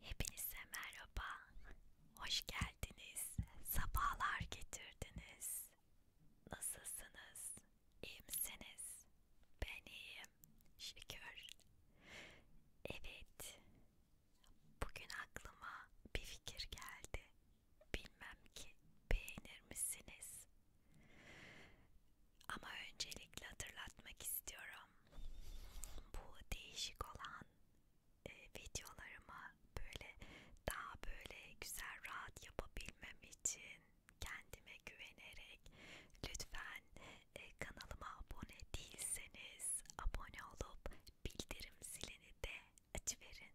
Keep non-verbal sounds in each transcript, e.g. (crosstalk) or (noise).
Hepinize merhaba, hoş geldiniz, sabahlar getirdiniz. Nasılsınız, iyi misiniz? Ben iyiyim, şükür. Evet, bugün aklıma bir fikir geldi. Bilmem ki beğenir misiniz? Ama öncelikle hatırlatmak istiyorum. Bu değişik olan e, videolarımı böyle daha böyle güzel rahat yapabilmem için kendime güvenerek lütfen e, kanalıma abone değilseniz abone olup bildirim zilini de açıverin.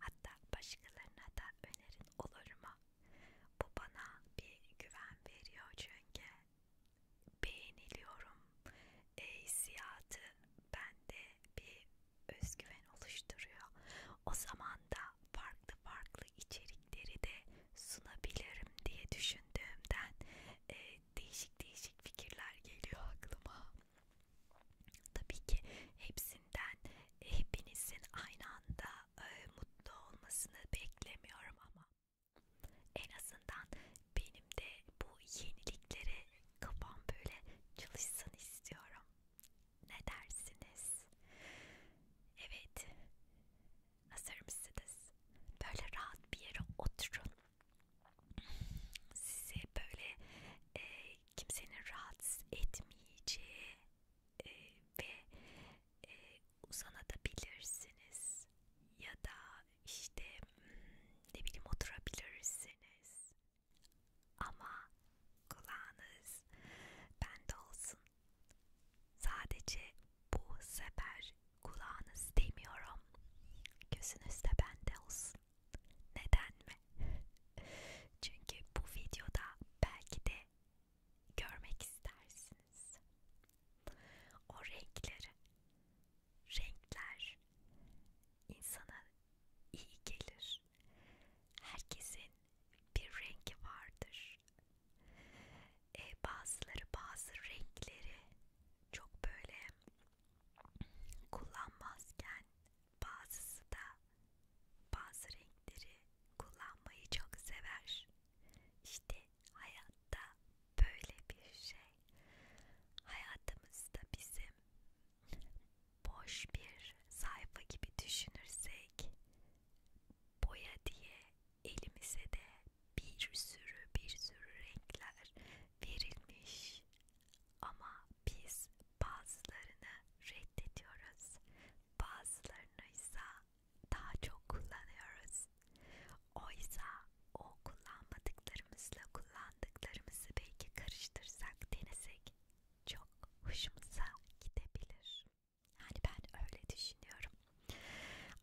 Hatta başkalarına da önerin olur mu? Bu bana bir güven veriyor çünkü beğeniliyorum e, hissiyatı bende bir özgüven oluşturuyor. O zaman da farklı farklı içerikleri de sunabilirim diye düşündüğümden e, değişik değişik fikirler geliyor aklıma. Tabii ki hepsinden hepinizin aynı anda e, mutlu olmasını beklemiyorum ama en azından benim de bu yeniliklere kafam böyle çalışsın istiyorum. Ne dersiniz? Evet. Hazır mısınız? Böyle rahat bir yere oturun. Size böyle e, kimsenin rahatsız etmeyeceği e, ve e, uzanabilirsiniz ya da işte hmm, ne bileyim oturabilirsiniz ama kulağınız bende olsun sadece bu sefer kulağınız demiyorum gözünüz de bende olsun neden mi (laughs) çünkü bu videoda belki de görmek istersiniz. O renkleri, renkler insana iyi gelir. Herkesin bir rengi vardır. E, bazıları bazı renkleri çok böyle kullanmazken bazısı da bazı renkleri kullanmayı çok sever. İşte hayatta böyle bir şey. Hayatımızda bizim boş bir sayfa gibi düşünürsek boya diye elimize de bir sürü bir sürü renkler verilmiş ama biz bazılarını reddediyoruz bazılarını ise daha çok kullanıyoruz. Oysa o kullanmadıklarımızla kullandıklarımızı belki karıştırsak, denesek çok hoşumuza gidebilir. Yani ben öyle düşünüyorum.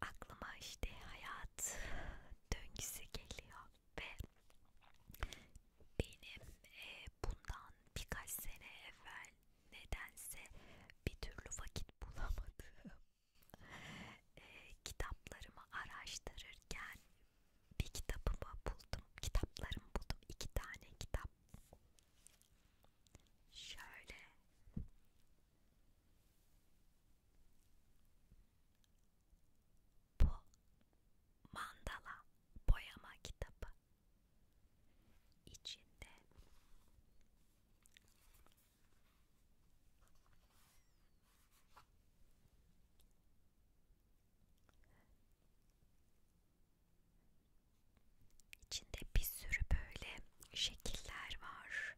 Aklıma işte hayat döngüsü geliyor ve benim e, bundan birkaç sene evvel nedense bir türlü vakit bulamadım. (laughs) E, kitaplarımı araştırırken bir kitabımı buldum. Kitaplarımı buldum. iki tane kitap. Şöyle. Bu mandala boyama kitabı içinde içinde bir sürü böyle şekiller var.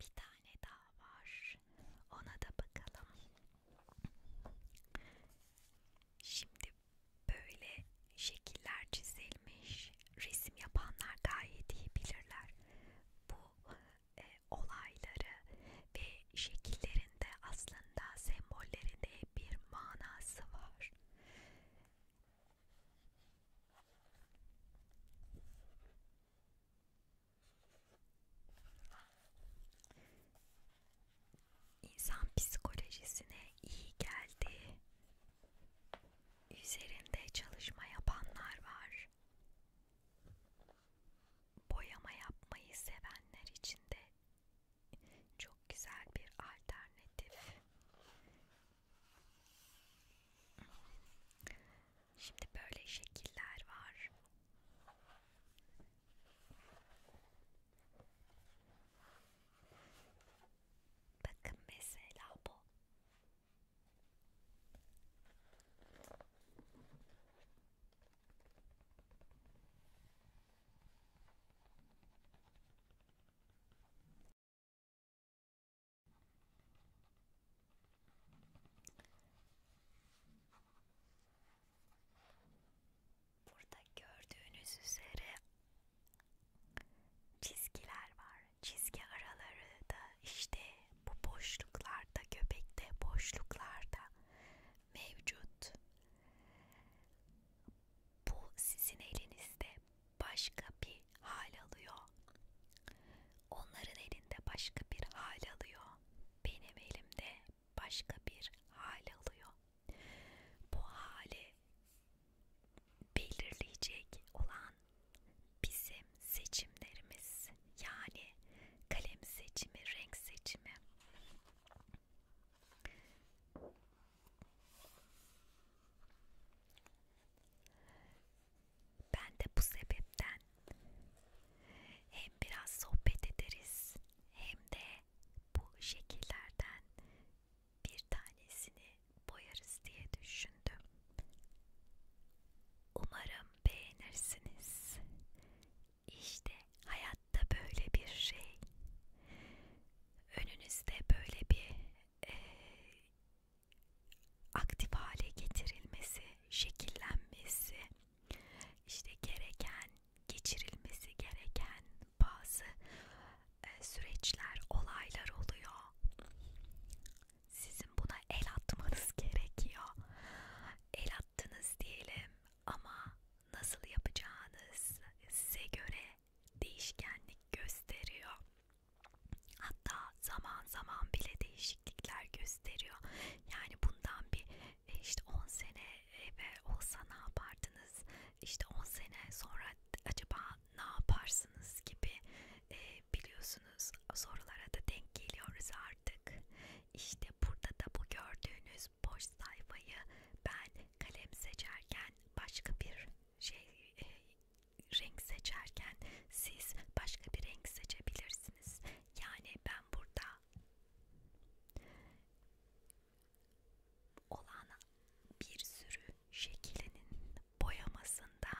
Bir tane daha var. Ona da bakalım. Şimdi böyle şekiller çizilmiş. Resim yapanlar gayet iyi bilirler. Bu e, olayları ve şekillerinde aslında sembollerinde bir manası var. İnsan psikolojisine iyi geldi. Üzerinde çalışma yapanlar var. Boyama yapmayı sevenler için de çok güzel bir alternatif. Şimdi böyle şekiller var. Bakın mesela bu. Burada gördüğünüz üzere çizgiler var. Çizgi araları da işte bu boşluklarda, göbekte boşluklarda mevcut bu sizin elinizde başka bir hal alıyor. Onların elinde başka bir hal alıyor. Benim elimde başka bir hal alıyor. Bu hali belirleyecek olan bizim seçimlerimiz yani kalem seçimi, renk seçimi. Ben de bu sebepten hem biraz sohbet ederiz hem de bu şekillerden bir tanesini boyarız diye düşündüm. Umarım beğenirsiniz. İşte hayatta böyle bir şey. Önünüzde böyle bir e, aktif hale getirilmesi, şekillenmesi, işte gereken, geçirilmesi gereken bazı e, süreçler, olaylar oluyor. Sizin buna el atmanız gerekiyor. El attınız diyelim ama nasıl yapacağınız size göre değişkenlik gösteriyor. Hatta zaman zaman bile değişiklikler gösteriyor. Yani bundan bir e, işte 10 sene e, ve olsa ne yapardınız? İşte 10 sene sonra acaba ne yaparsınız gibi e, biliyorsunuz sorulara da denk geliyoruz artık. İşte burada da bu gördüğünüz boş sayfayı ben kalem seçerken başka bir şey e, renk seçerken siz başka bir renk seçebilirsiniz. Yani ben burada olan bir sürü şeklinin boyamasında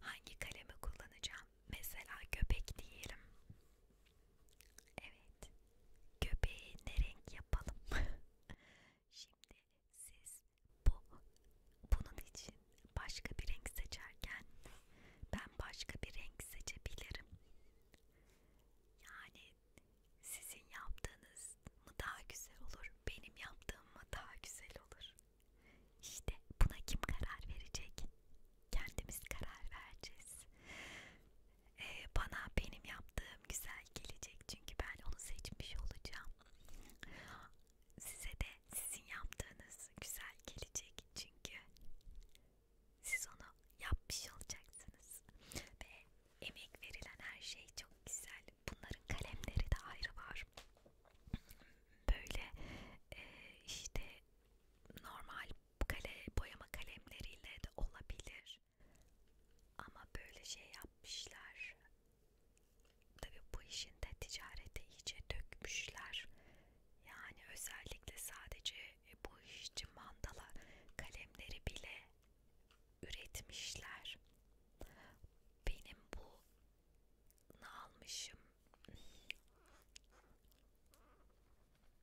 hangi kalemi kullanacağım? Mesela köpek diyelim. Evet, göbeği ne renk yapalım? (laughs) Şimdi siz bu bunun için başka bir renk seçerken ben başka bir renk seçebilirim. Yani sizin yaptığınız mı daha güzel olur, benim yaptığım mı daha güzel olur? İşte buna kim karar verecek? Kendimiz karar vereceğiz e, bana benim yaptığım güzel gelecek çünkü ben onu seçmiş olacağım. Size de sizin yaptığınız güzel gelecek çünkü siz onu yapmış olacaksınız ve emek verilen her şey çok güzel. Bunların kalemleri de ayrı var. Böyle e, işte normal kale, boyama kalemleriyle de olabilir. Ama böyle şey yapmışlar. Tabii bu işin de ticarete iyice dökmüşler. Yani özellikle sadece e, bu iş için mandala kalemleri bile üretmişler. Benim bu ne almışım?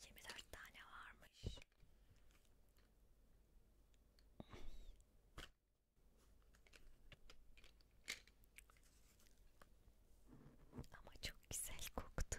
24 tane varmış. Ama çok güzel koktu.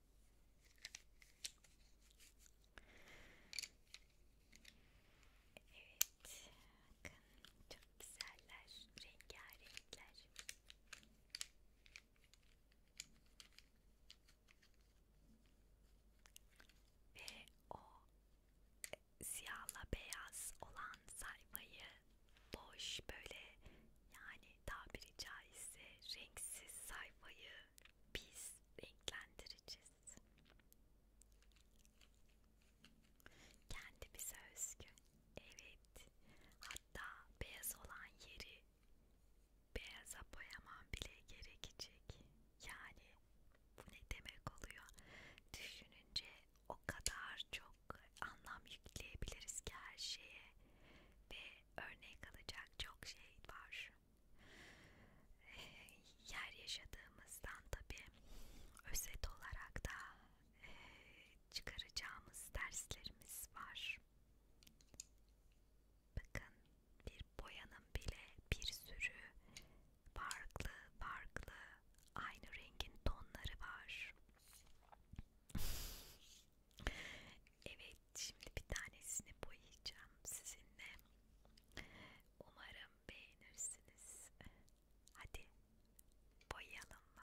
Evet, bakın çok güzeller, rengarenkler. Ve o siyahla beyaz olan sayfayı boş böyle yani tabiri caizse renksiz sayfayı biz renklendireceğiz. Kendimize özgü. Evet. Hatta beyaz olan yeri beyaza boyamam bile gerekecek. Yani bu ne demek oluyor? Düşününce o kadar çok anlam yükleyebiliriz ki her şeye ve örnek alacak çok şey var yer yaşadığımızdan tabi özet olarak da e, çıkaracağımız derslerimiz var. Bakın bir boyanın bile bir sürü farklı farklı aynı rengin tonları var. Evet şimdi bir tanesini boyayacağım sizinle. Umarım beğenirsiniz. Hadi boyayalım mı?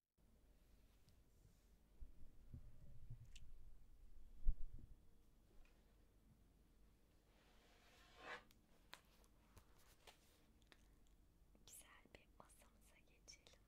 Güzel bir masamıza geçelim.